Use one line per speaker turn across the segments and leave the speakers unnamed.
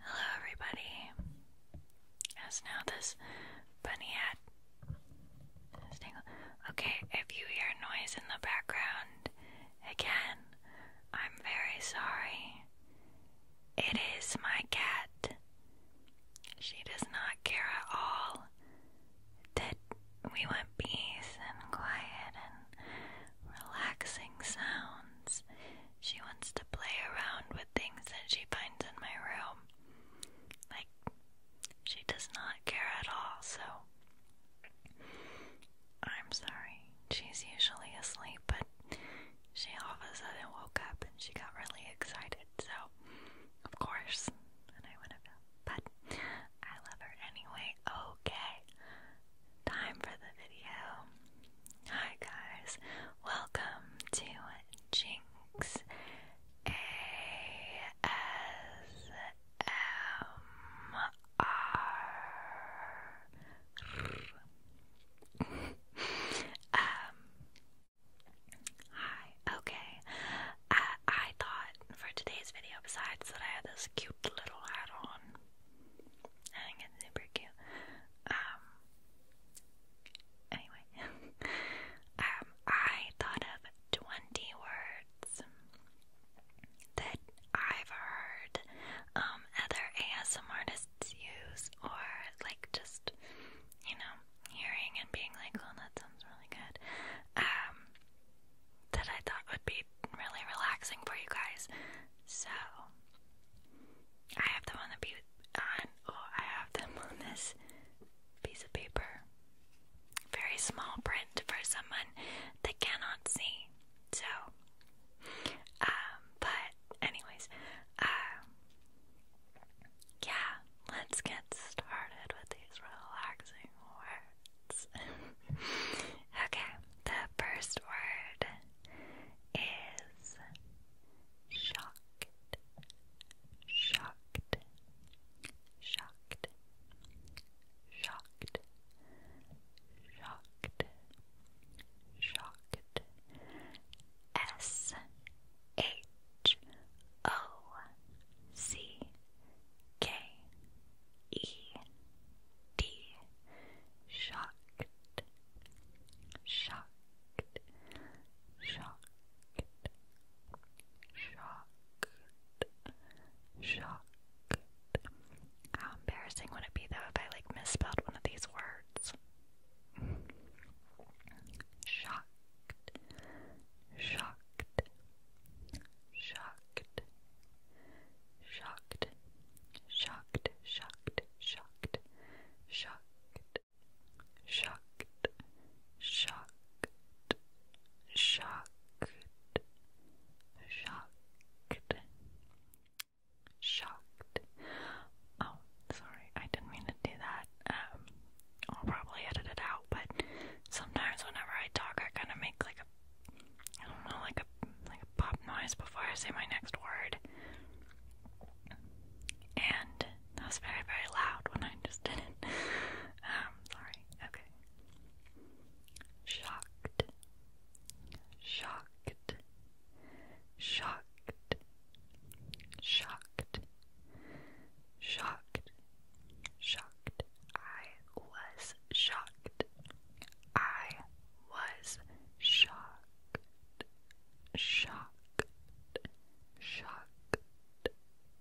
Hello, everybody. As now, this bunny hat Okay, if you hear noise in the background, again, I'm very sorry. It is my cat. She does not care at all that we want peace and quiet and relaxing sounds. She wants to play around with things that she finds in my room, like she does not care at all, so I'm sorry. She's usually asleep, but she all of a sudden woke up and she got really excited, so of course, I went up, but I love her anyway. Okay, time for the video. Hi guys, welcome to Jinx ASMR. um, hi, okay. I, I thought for today's video, besides that I had this cute little hat on, I think it's super cute. Um, anyway, um, I thought of 20 words that I've heard um, other ASM artists use, or like just, you know, hearing and being like, oh, that sounds really good, um, that I thought would be really relaxing for you guys. So, I have them on the be uh, oh, I have them on this piece of paper. Very small print for someone that cannot see. So, um, but, anyways, um, yeah, let's get started with these relaxing words. okay, the first word is shocked. Shocked shocked, shocked, shocked,
shocked. S H O C K E D shocked, shocked, shocked, shocked, shocked.
How embarrassing would it be though if I like misspelled one of these words? Shocked, shocked,
shocked, shocked, shocked, shocked, shocked, shocked, shocked, shocked, shocked, shocked, shocked. Oh, sorry, I didn't mean to
do that. Um, I'll probably edit it out, but sometimes whenever I talk, I kind of make like a, I don't know, like a like a pop noise before I say my next word, and that was very, very loud when I just did it. Um, sorry. Okay. Shocked. Shocked.
Shocked. Shocked. Shocked. Shocked. I was shocked. I was Shocked. Shocked. Shocked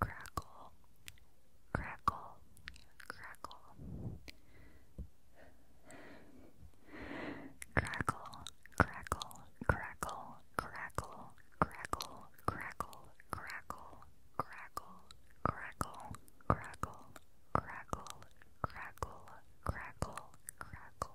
Crackle, crackle, crackle. Crackle, crackle, crackle, crackle, crackle, crackle, crackle, crackle, crackle, crackle, crackle, crackle, crackle,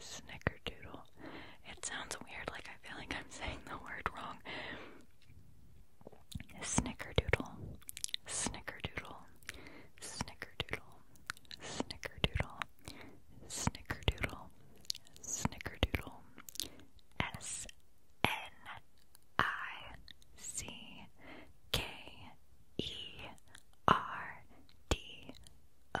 Snickerdoodle. It sounds weird, like I feel like I'm saying the word wrong. Snickerdoodle. Snickerdoodle. Snickerdoodle. Snickerdoodle. Snickerdoodle. Snickerdoodle. S N I C K E R D O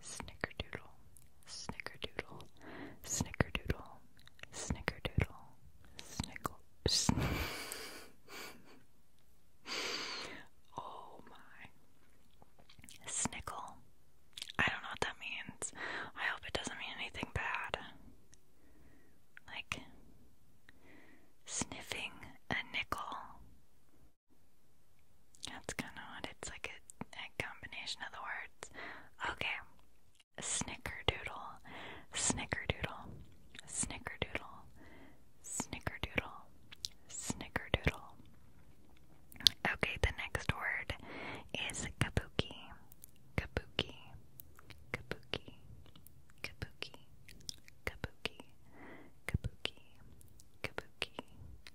Snickerdoodle, snickerdoodle, snickerdoodle, snickerdoodle, snickle. Sn oh my. snickel. I don't know what that means. I hope it doesn't mean anything bad. Like sniffing a nickel. That's kind of odd. it's like a, a combination of the words. Okay. Snickerdoodle, snickerdoodle, snickerdoodle, snickerdoodle, snickerdoodle. Okay, the next word is kabuki, kabuki, kabuki, kabuki, kabuki, kabuki, kabuki,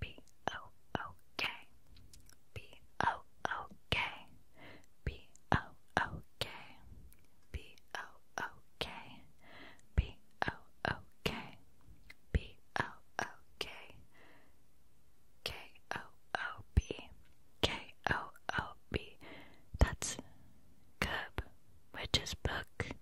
B O O K B O O K B O O K B O O K B O O K B O O K K O O B K O O B. That's Curb, which is book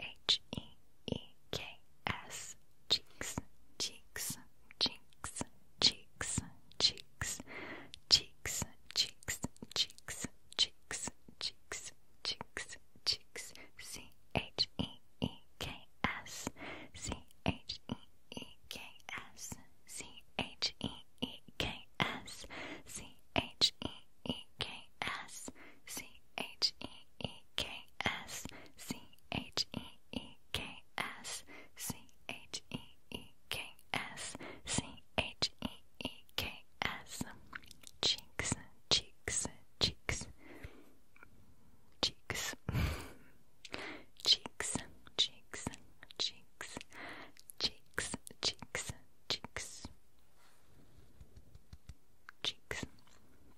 H E E K S cheeks, cheeks, cheeks, cheeks, cheeks, cheeks, cheeks, cheeks, cheeks, cheeks, cheeks, cheeks, C H E E K S C H E E K S C H E E K S C H E E K S C H E E K S C H E E K S C H E E K S C H E E K S Cheeks Cheeks Cheeks Cheeks Cheeks Cheeks Cheeks Cheeks Cheeks Cheeks Cheeks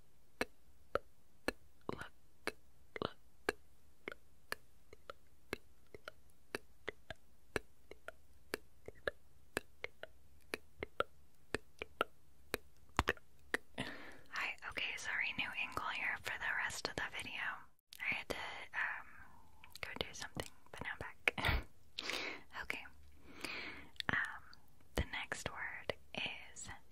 Hi, okay, sorry, new angle here for the rest of the video. I had to um go do something, but now I'm back. okay. Um the next word is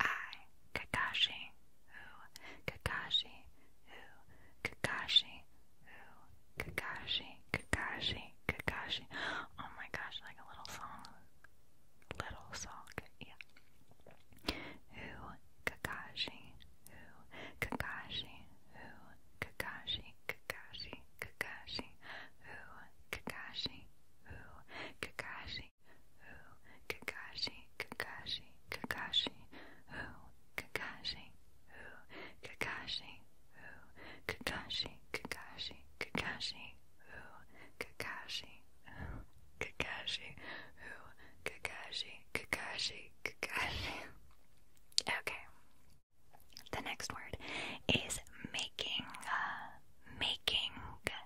I, Kakashi, who, Kakashi, who, Kakashi, who, Kakashi, Kakashi, Kakashi. Oh my gosh, like a little song. Little song, yeah. Who, Kakashi, who, Kakashi, who, Kakashi, Kakashi, Kakashi, who, Kakashi, who, Kakashi, Kakashi, who, Kakashi, Kakashi, Kakashi, who, Kakashi, who, Kakashi, who, Kakashi, Kakashi, Kakashi, who, Kakashi, who, Kakashi, who, Kakashi, Kakashi, Kakashi. Okay. The next word is making, uh, making, uh,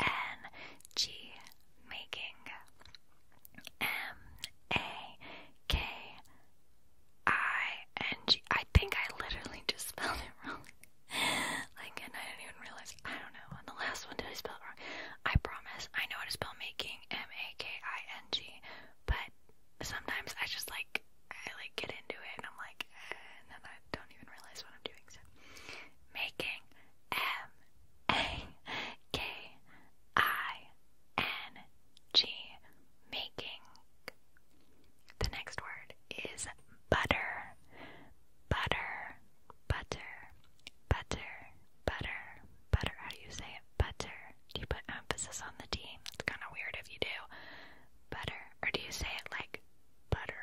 N G making M A K I N G. I think I literally just spelled it wrong. like, I didn't even realize. I don't know. On the last one, did I spell it wrong? I promise. I know how to spell making M A K I N G, but sometimes I just like I like get into it and I'm like, eh, and then I don't even realize what I'm doing. So making M A K I N G. Making. The next word is butter. Butter. Butter. Butter. Butter. Butter. How do you say it? Butter. Do you put emphasis on the D? It's kind of weird if you do. Butter. Or do you say it like butter?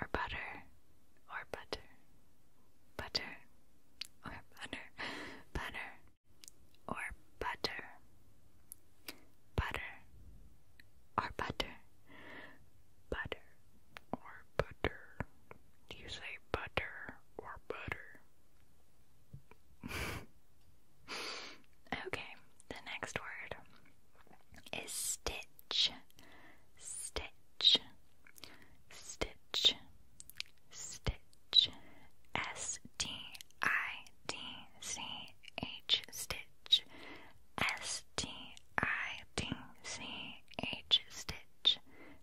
or butter or butter butter or butter butter or butter butter or butter butter or butter do you say butter or butter okay the next word is stitch, stitch, stitch, stitch, S T I T C H, stitch, S T I T C H, stitch.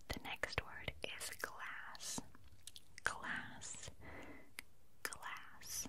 The next word is glass, glass, glass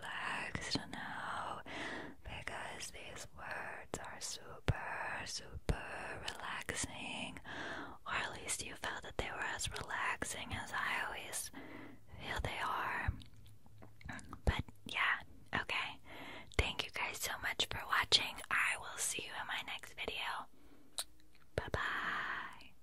relaxed now because these words are super, super relaxing, or at least you felt that they were as relaxing as I always feel they are. But yeah, okay. Thank you guys so much for watching. I will see you in my next video. Bye bye.